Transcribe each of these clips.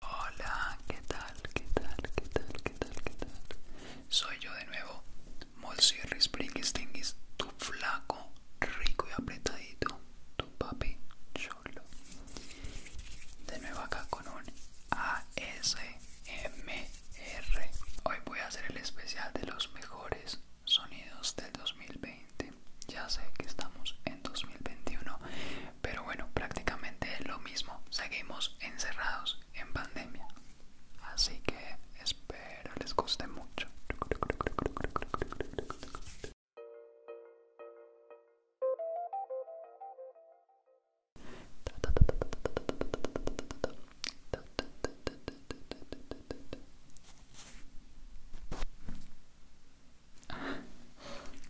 Hola, ¿qué tal? ¿Qué tal? ¿Qué tal? ¿Qué tal? ¿Qué tal? Soy yo de nuevo, Molsirris Stingis, tu flaco, rico y apretadito, tu papi cholo. De nuevo acá con un ASMR. Hoy voy a hacer el especial de los mejores sonidos del 2020. Ya sé que estamos en 2021, pero bueno, prácticamente es lo mismo. Seguimos encerrados en pandemia. Así que espero les guste mucho.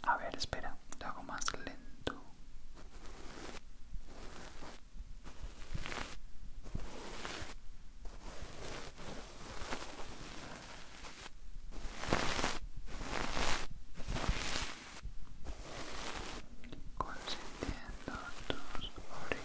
A ver, espera, lo hago más lento. Consintiendo tus orillas.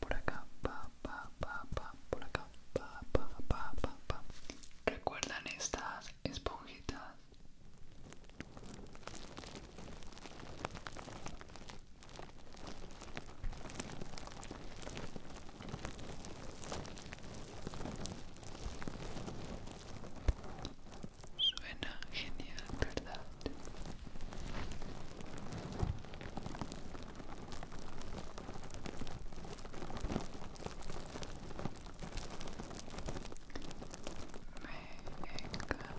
Por acá, pa, pa, pa, pa, por acá, pa, pa, pa, pa, pa. ¿Recuerdan estas esponjitas? Suena genial, ¿verdad? Me encanta. Me encanta.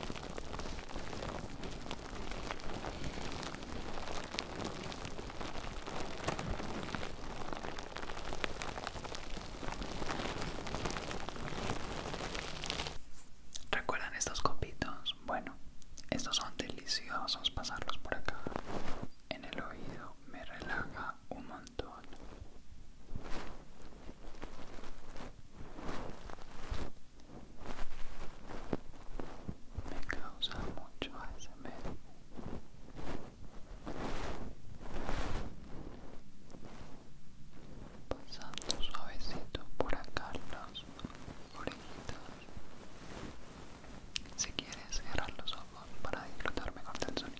¿Recuerdan estos copitos? Bueno, estos son deliciosos pasarlos por acá. En el oído me relaja un montón me causa mucho medio. pasando suavecito por acá los orejitas si quieres cerrar los ojos para disfrutar mejor del sonido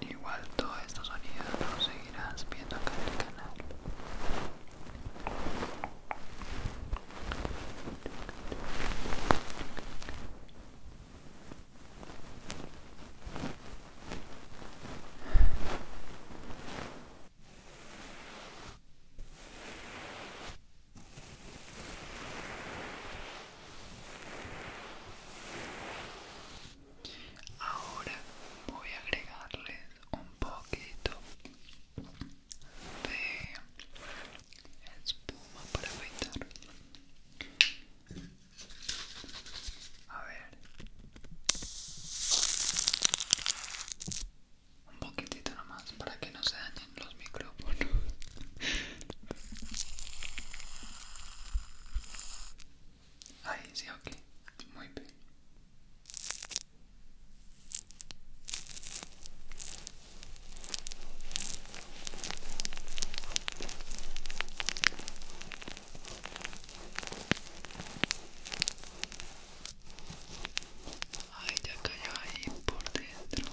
Igual todo esto sonidos no seguirás viendo acá en el canal. Ahora voy a agregarles un poquito de espuma para afeitar. A ver. Un poquitito nomás para que no se dañen los micrófonos. Ahí sí, ok. Muy bien. Ay, ya cayó ahí por dentro.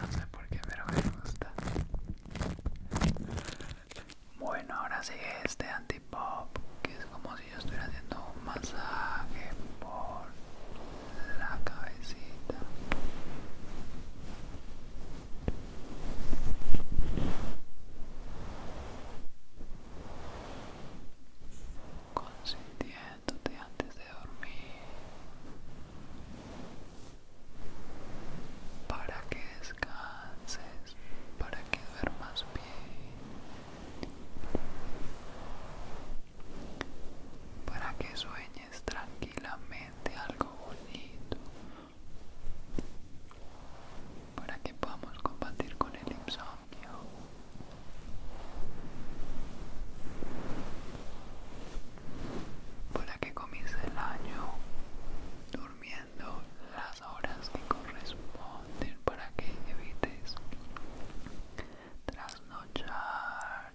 No sé por qué, pero me gusta. Bueno, ahora sigue este antipop, que es como si yo estuviera haciendo un masaje por la cabecita. Consintiéndote antes de dormir para que descanses, para que duermas bien, para que sueñes tranquilamente algo bonito para que podamos combatir con el insomnio. Para que comience el año durmiendo las horas que corresponden para que evites trasnochar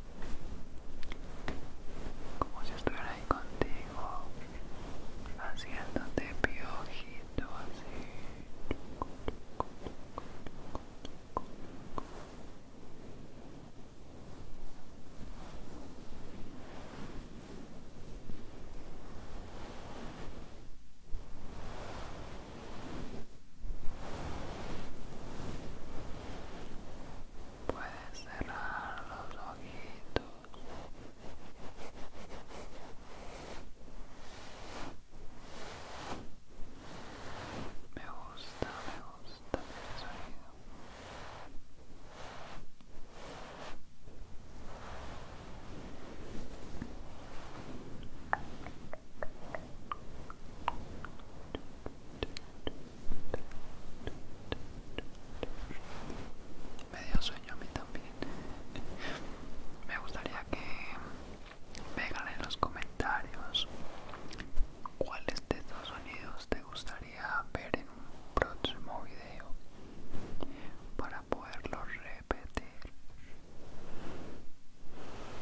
como si estuviera ahí contigo haciéndote piojito así Puedes cerrar los ojitos. Me gusta, me gusta el sonido. Me dio sueño a mí también. Me gustaría que vean en los comentarios cuáles de estos sonidos te gustaría ver en un próximo video para poderlo repetir.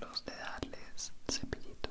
los de darles cepillito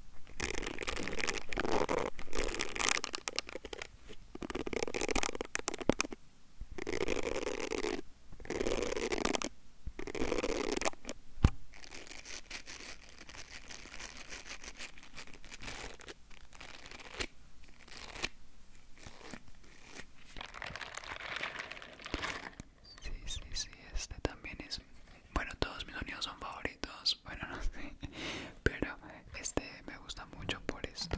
Sí, sí, sí, este también es bueno, todos mis sonidos son favoritos. Bueno, no sé. Pero este me gusta mucho por esto.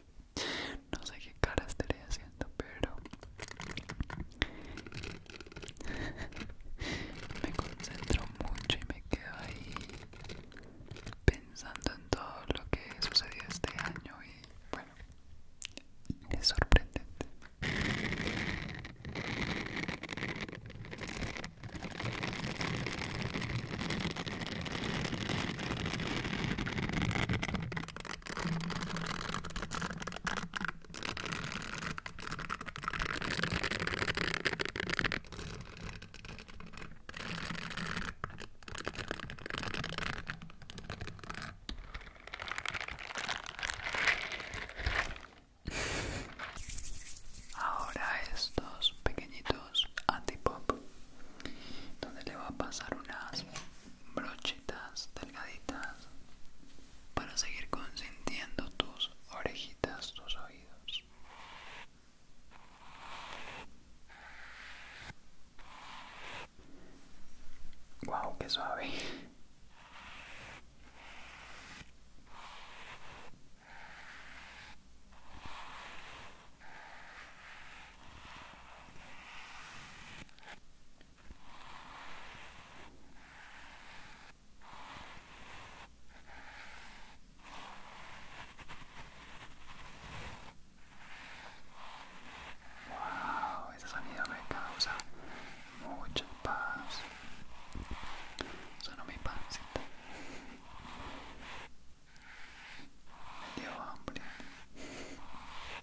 No sé qué cara estaré haciendo, pero me concentro mucho y me quedo ahí pensando en todo lo que sucedió este año y bueno, es sorprendente. Ahora estos pequeñitos antipop, donde le va a pasar unas Brochitas delgaditas para seguir consintiendo tus orejitas, tus oídos. Wow, qué suave. Wow, ese sonido me causa mucha paz. Sonó mi pancita. Me dio hambre.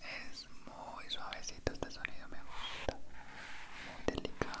Es muy suavecito este sonido, me gusta. Muy delicado.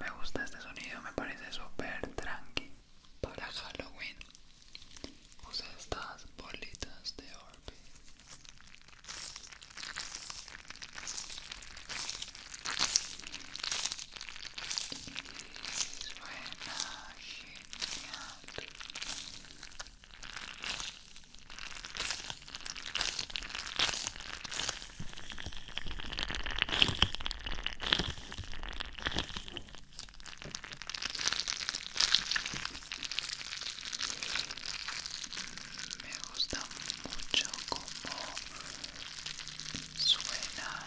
Me gusta este sonido, me parece súper tranqui. Para Halloween usé estas bolitas de Orbe. suena genial. Me gusta mucho como suenan.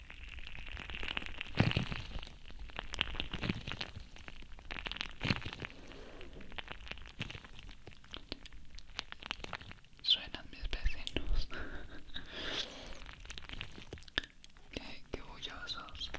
Suenan mis vecinos. qué, bullosos.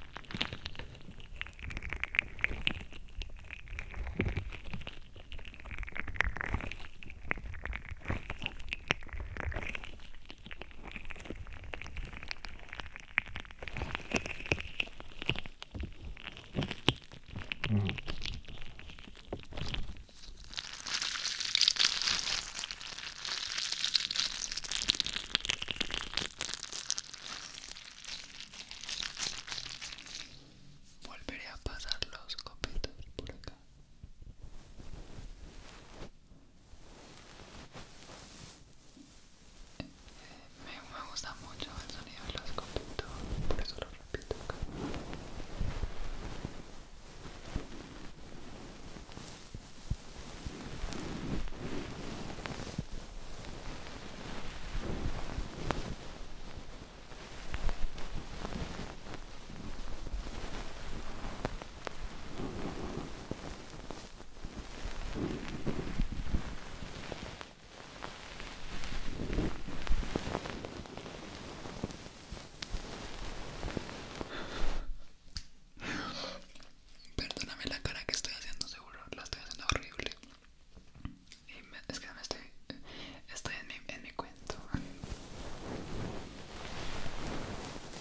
Volveré a pasar los copitos por acá me, me gusta mucho el sonido de los copitos por eso lo repito Perdóname la cara que estoy haciendo, seguro la estoy haciendo horrible. Y me, es que me estoy, estoy en mi, en mi cuento.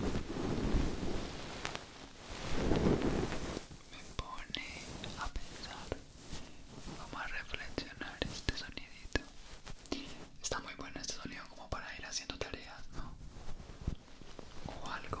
Me pone a pensar. Vamos a reflexionar este sonidito. Está muy bueno este sonido como para ir haciendo tareas, ¿no? O algo.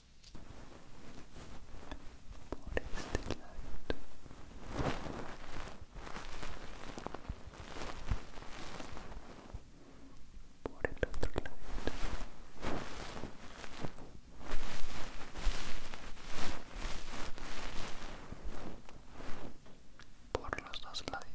por este lado por el otro lado por los dos lados.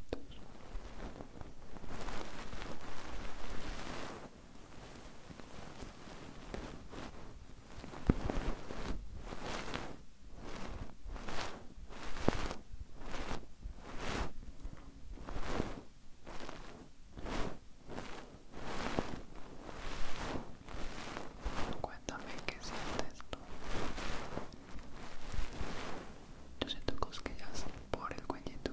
Cuéntame qué sientes tú. Yo siento cosquillas por el cuellito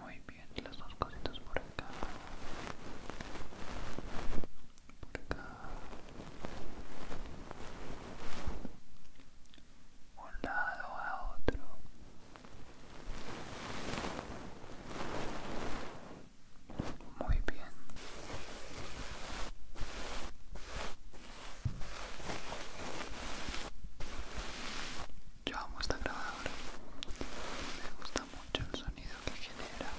Muy bien, las dos cositas por acá. Por acá. Un lado a otro. Muy bien. Yo amo esta grabadora. Me gusta mucho el sonido que genera.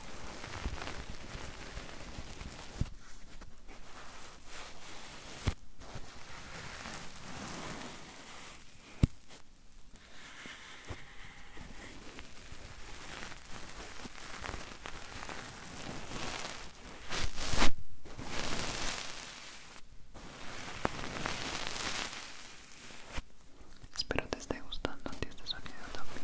Espero te esté gustando a ti este sonido también.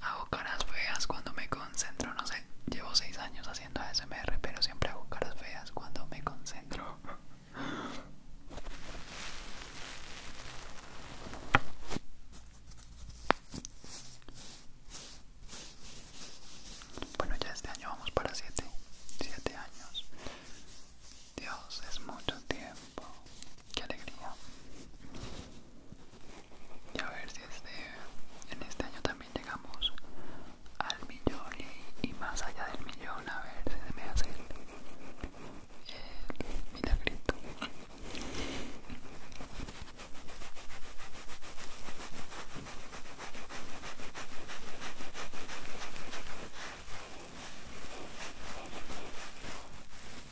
Hago caras feas cuando me concentro, no sé, llevo 6 años haciendo ASMR, pero siempre hago caras feas cuando me concentro. Bueno, ya este año vamos para 7, 7 años. Dios, es mucho tiempo. Qué alegría. Y a ver si este, en este año también llegamos al millón y, más allá del millón. A ver si se me hace el, milagrito.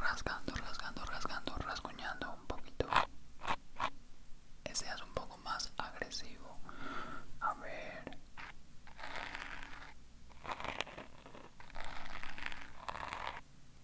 Rascando, rascando, rascando, rascuñando un poquito. Ese un poco más agresivo. A ver.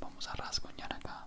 Vamos a rasguñar acá.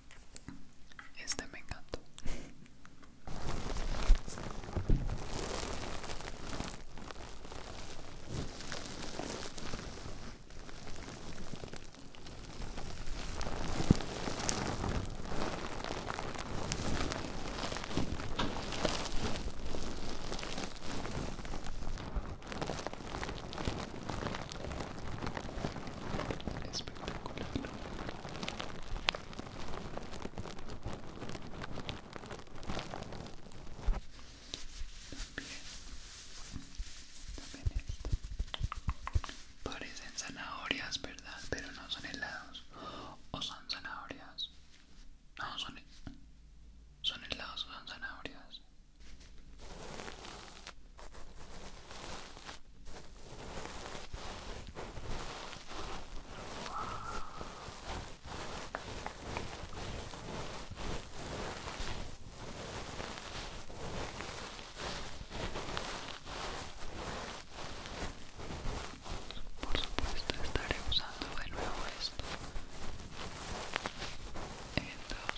Este me encanta. También, Parecen zanahorias, ¿verdad? Pero no son helados. O son zanahorias. No, son, son helados o son zanahorias. Por supuesto estaré usando de nuevo esto en 2021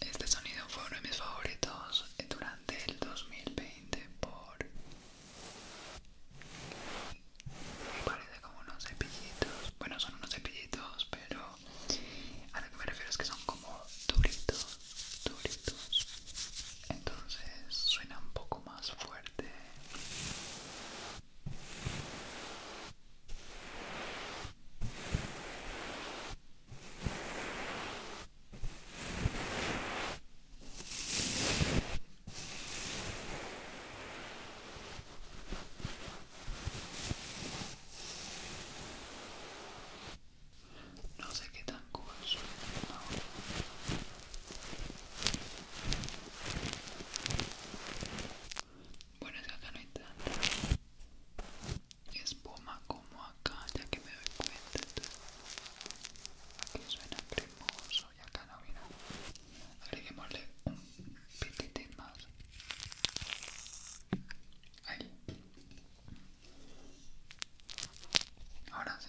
Este sonido fue uno de mis favoritos durante el 2020 por... Parece como unos cepillitos. Bueno, son unos cepillitos, pero a lo que me refiero es que son como duritos, duritos. Entonces suena un poco más fuerte. No sé qué tan cool suena ahora. Bueno, es acá no hay es espuma como acá, ya que me doy cuenta. Que suena cremoso y acá no, mira. Agreguémosle un pititín más. Ahí. Ahora sí.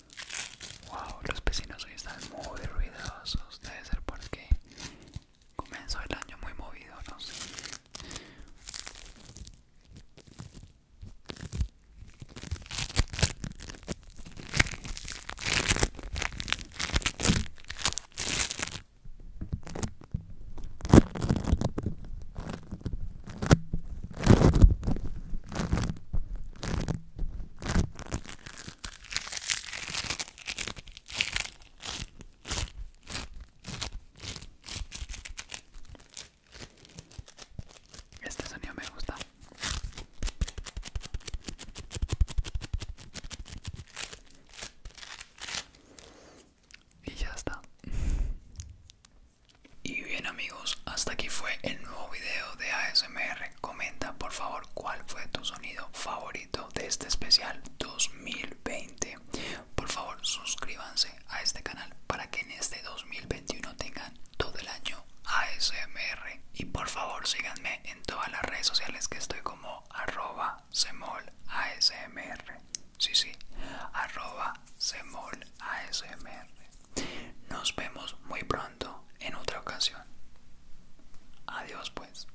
Wow, los vecinos hoy están muy ruidosos. Debe ser porque comenzó el año muy movido, no sé. Este sonido me gusta. Y ya está. Y bien amigos, hasta aquí fue el nuevo video de ASMR. Comenta por favor cuál fue tu sonido favorito de este especial 2020. Por favor suscríbanse a este canal para que en este 2021 tengan todo el año ASMR. Y por favor síganme en todas las redes sociales que estoy como arroba semol ASMR. Sí, sí, arroba semol ASMR. Nos vemos muy pronto en otra ocasión. Adiós pues.